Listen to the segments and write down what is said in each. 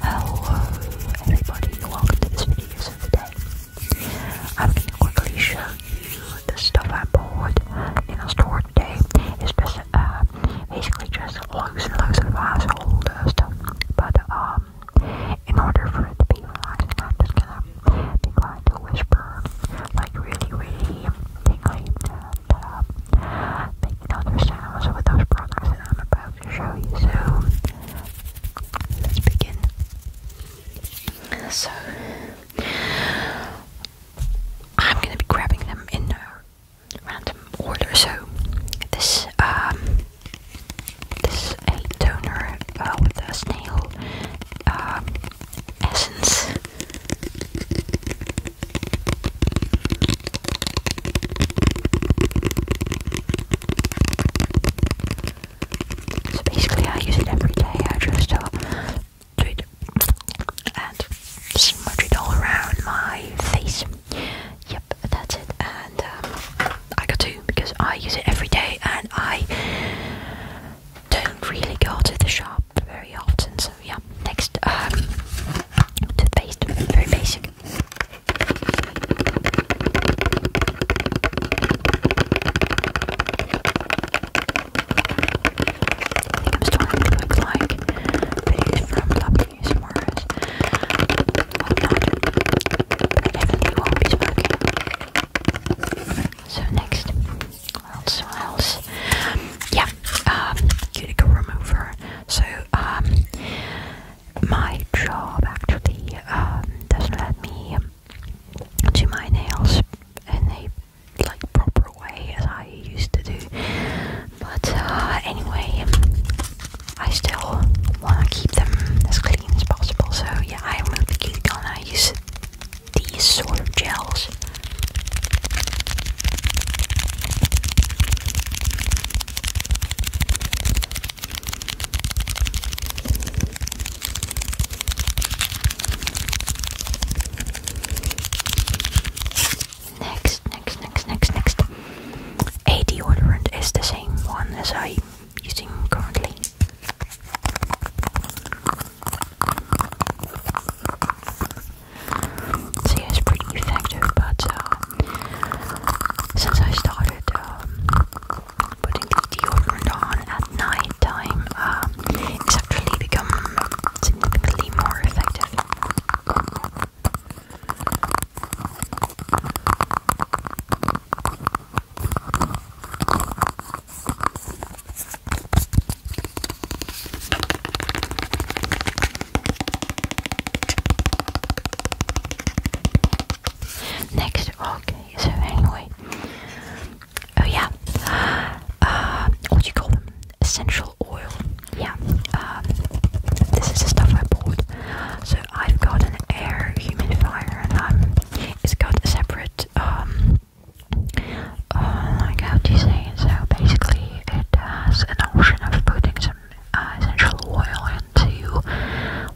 Hello everybody, welcome to this video. So today I'm gonna quickly show you the stuff I bought in the store today. It's uh, basically just loads and loads of household stuff. But um, in order for it to be relaxing, I'm just gonna decline to whisper like really, really everything hyped up, put those products that I'm about to show you. So let's begin. So I'm gonna be grabbing them in a random order. So this um this a toner uh, with a snail um, essence basically, I use it every day. I just uh, do it and smudge it all around my face. Yep, that's it. And um, I got two because I use it every day and I don't really go to the shop very often. So yeah, next um, toothpaste, very basic. I am starting to look like videos from Lovely Tomorrow's. I definitely won't be smoking. So next what else, Yeah, um, cuticle remover. So, um, my job actually um, doesn't let me do my nails in a like proper way as I used to do. But uh, anyway, I still want to keep them as clean as possible. So yeah, I remove the these sort of gels. Next, next, next, next, next. A deodorant is the same one as I'm using currently. So it's pretty effective, but uh, since I started um, putting the deodorant on at night time, um, it's actually become significantly more effective. Next, okay, so anyway, oh yeah, uh, what you call them? Essential oil, yeah. Um, this is the stuff I bought. So I've got an air humidifier, and um, it's got a separate um, uh, like how you say it? So basically, it has an option of putting some uh, essential oil into,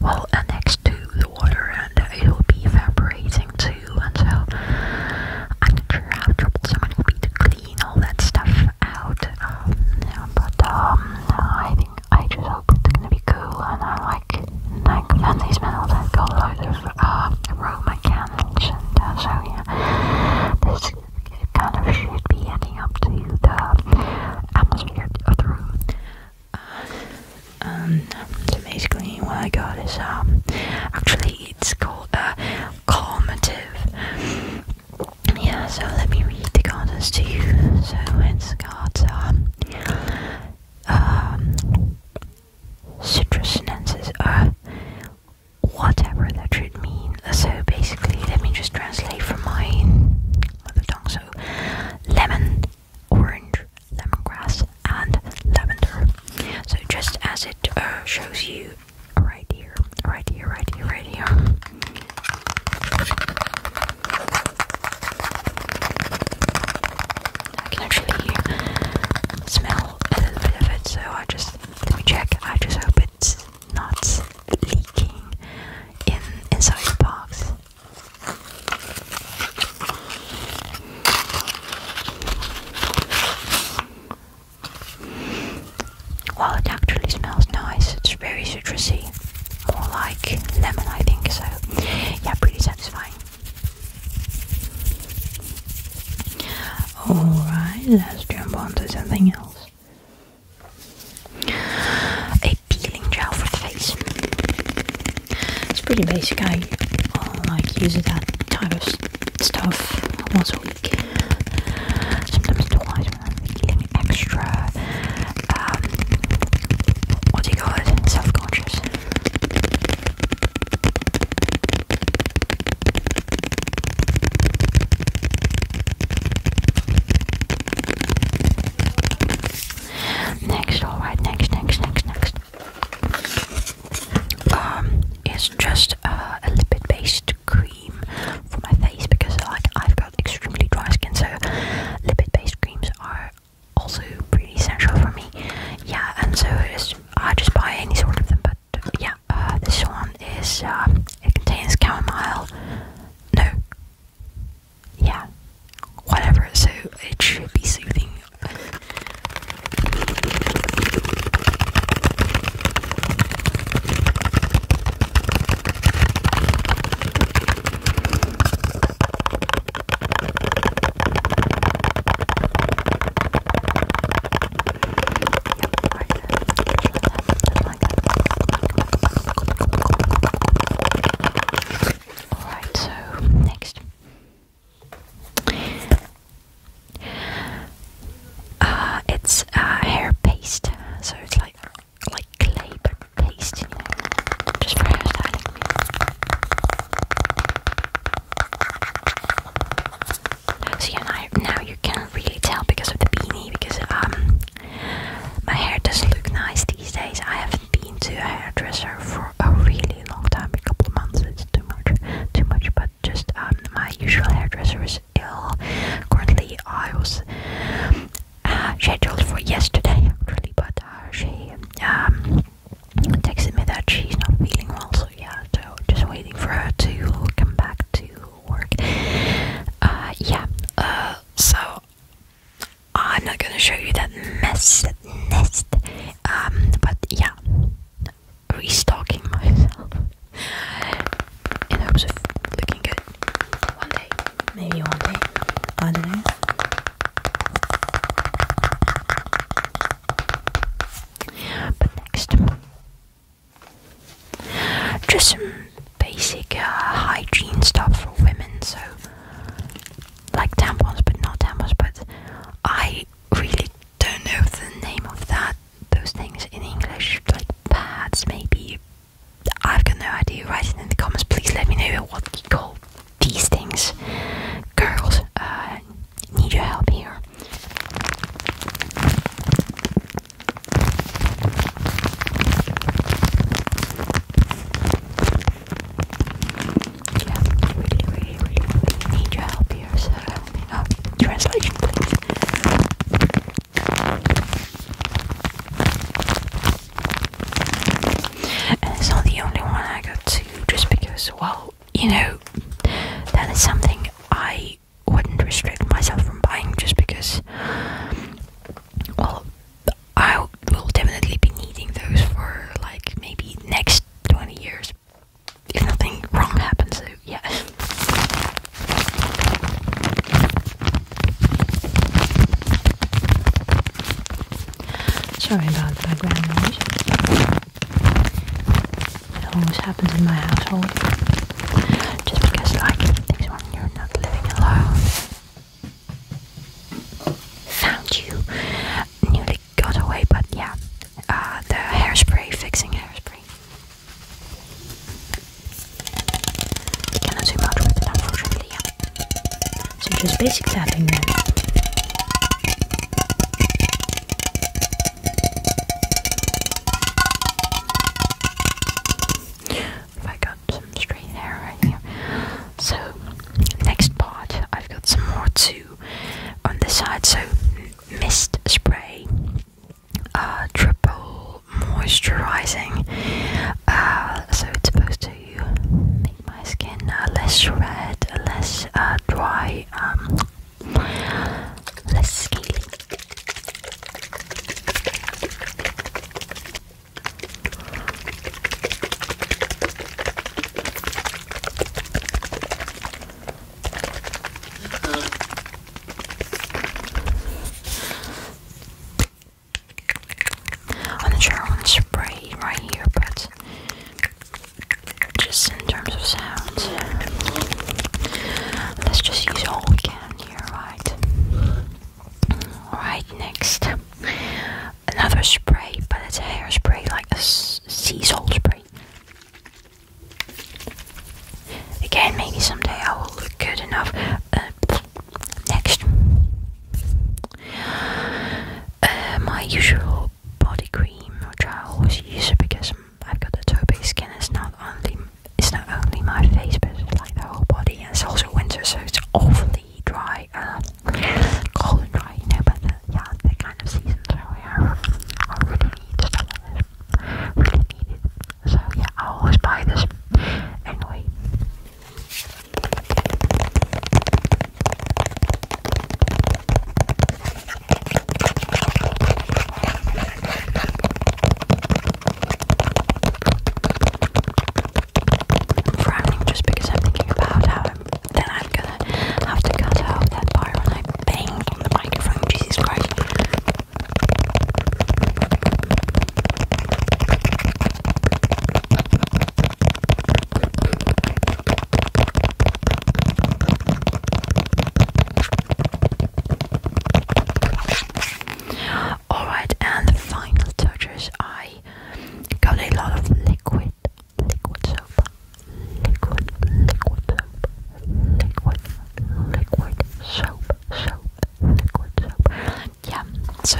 well, next to the water, and it will be evaporating too. And so, I'm not sure how troublesome it will be to clean all that stuff out. Um, but um, I think I just hope it's gonna be cool, and I like like these smell that got loads of uh, aroma candles and uh, so yeah this kind of should be adding up to the atmosphere of uh, um, so basically what I got is um actually it's called a uh, calmative yeah so let me read the contents to you so it's got um um citrus nuances are whatever that should mean. So basically, let me just translate from my mother tongue. So, lemon, orange, lemongrass, and lavender. So just as it uh, shows you right here, right here, right here, right here. I can actually smell a little bit of it, so I just let me check. I just hope it's not leaking in inside the box. Well, it actually smells nice. It's very citrusy, more like lemon, I think. So, yeah, pretty satisfying. Alright, let's jump on something else. A peeling gel for the face. It's pretty basic. I like using that type of stuff once a week. Sometimes twice when I'm feeling extra um, what do you call Self conscious. Next, alright, next, next, next, next. Um, it's just uh, a lipid based cream for my face because, like, I've got extremely dry skin, so lipid based creams are also pretty central for me. Yeah, and so I just buy any sort of them, but yeah, uh, this one is, um, it contains chamomile, no, yeah, whatever, so it should be soothing. Alright, so next. Uh, it's uh, hair paste, so it's like like clay but paste, you know, just for hairstyling. So yeah, now, now you can really tell because of the beanie, because um, my hair does look nice these days. I haven't been to a hairdresser for a really long time, a couple of months. It's too much, too much. But just um, my usual hairdresser is ill. Currently, I was scheduled for yesterday actually, but uh, she um, texted me that she's not feeling well, so yeah, so just waiting for her to come back to work. Uh, yeah, uh, so I'm not gonna show you that mess, nest, um, but yeah, restocking myself in hopes of looking good. One day. Maybe one day. I don't know. But next, just some basic uh, hygiene stuff for women. So, like tampons, but not tampons. But I really don't know the name of that. Those things in English, like pads, maybe I've got no idea. Write it in the comments. Please let me know what you call these things. Girls, uh, need your help here. really, really, really, really need your help here. So help me. Oh, translation, please. And it's not the only one I got to, just because, well, you know, that is something I wouldn't restrict myself from buying, just because, well, I will definitely be needing those for like maybe next 20 years if nothing wrong happens. So, yeah. Sorry about the background noise. It always happens in my household. Just because, like, it takes when you're not living alone. Found you. Nearly got away, but yeah. Uh, the hairspray, fixing hairspray. So just basic tapping then. I got some straight hair right here. So next part I've got some more too on this side so mist spray uh, triple moisturizing, uh, so it's supposed to make my skin uh, less red, less dry, um, less scaly on the challenge spray right here, but just in terms of sounds, let's just use all we can here, right? Right, next, another spray, but it's hairspray, like a sea salt spray. Again, maybe someday I will look good enough. Uh, next, uh, my usual body cream, which I always use it because I've got a toby skin. It's not only it's not only my face, but like the whole body. And it's also winter, so it's awfully dry, uh, cold and dry. You know, but uh, yeah, that kind of season. So yeah, I really need really need So yeah, I always buy this. Anyway. frowning just because I'm thinking about how then I'm gonna have to cut out that part when I Jesus Christ. Alright, and the final touches I got a lot of liquid liquid soap liquid, liquid, liquid, liquid soap, soap, liquid soap. Yeah, so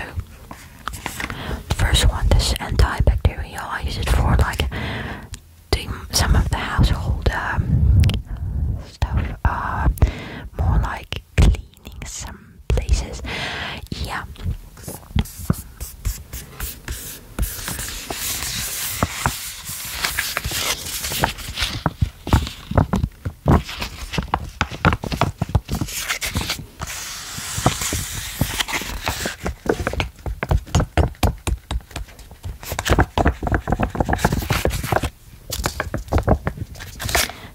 first one, this antibacterial, I use it for like the, some of the household um, stuff, uh, more like cleaning some places. Yeah.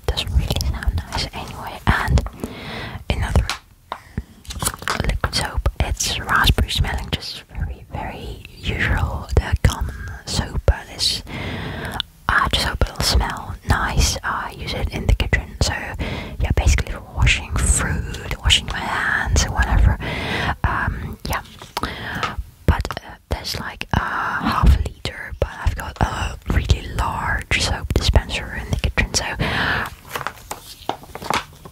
Doesn't really sound nice anyway. And another liquid soap. It's raspberry smelling, just very, very usual. The common soap but uh, is I uh, just hope it'll smell nice. I use it in the kitchen, so yeah, basically for washing fruit, washing my hands, or whatever. Um, yeah, but uh, there's like a half a liter, but I've got a really large soap dispenser in the kitchen, so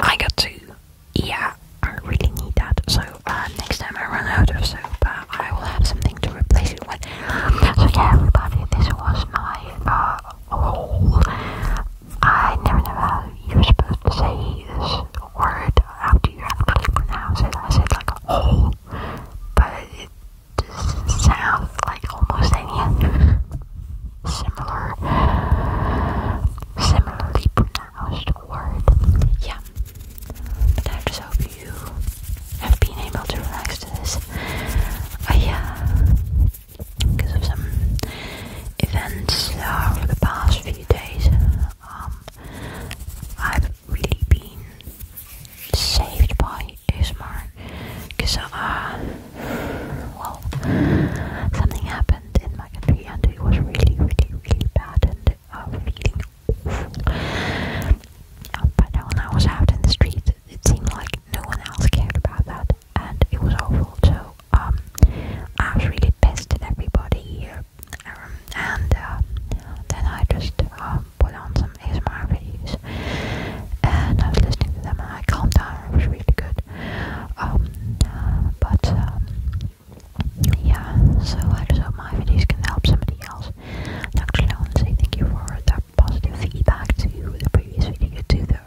I got two yeah, I really need that. So uh, next time I run out of soap, uh, I will have something to replace it with. So yeah, this was my uh, I never know how you say this word. How do you actually pronounce it? I said like a but it just sounds like almost any similar, similarly pronounced word. Yeah. But I just hope you have been able to relax to this. I, uh, oh, because of some events over the past few days, um, I've really been saved by ASMR because, uh, well, something happened happened in my country and it was really, really, really bad and uh, feeling awful. Uh, but when I was out in the street, it seemed like no one else cared about that and it was awful. So um, I was really pissed at everybody here. Um, and uh, then I just uh, put on some ASMR videos and I was listening to them and I calmed down. It was really good. Um, but um, yeah, so I just hope my videos can help somebody else. And actually, I want to say thank you for that positive feedback to the previous video, to the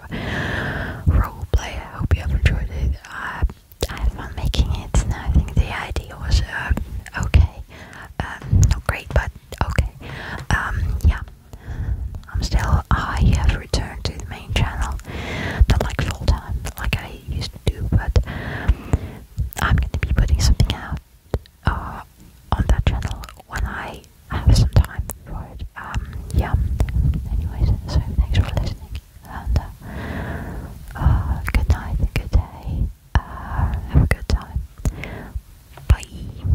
roleplay. I hope you have enjoyed it. Uh, I had fun making it, I think the idea was uh, okay. Uh, not great, but okay. Um, yeah, I'm still, I have returned to the main channel, not like full time, like I used to do, but I'm gonna be putting something out uh, on that channel when I have some time for it. Um, yeah, anyways, so thanks for listening, and uh, uh, good night, good day, have a good time. Bye.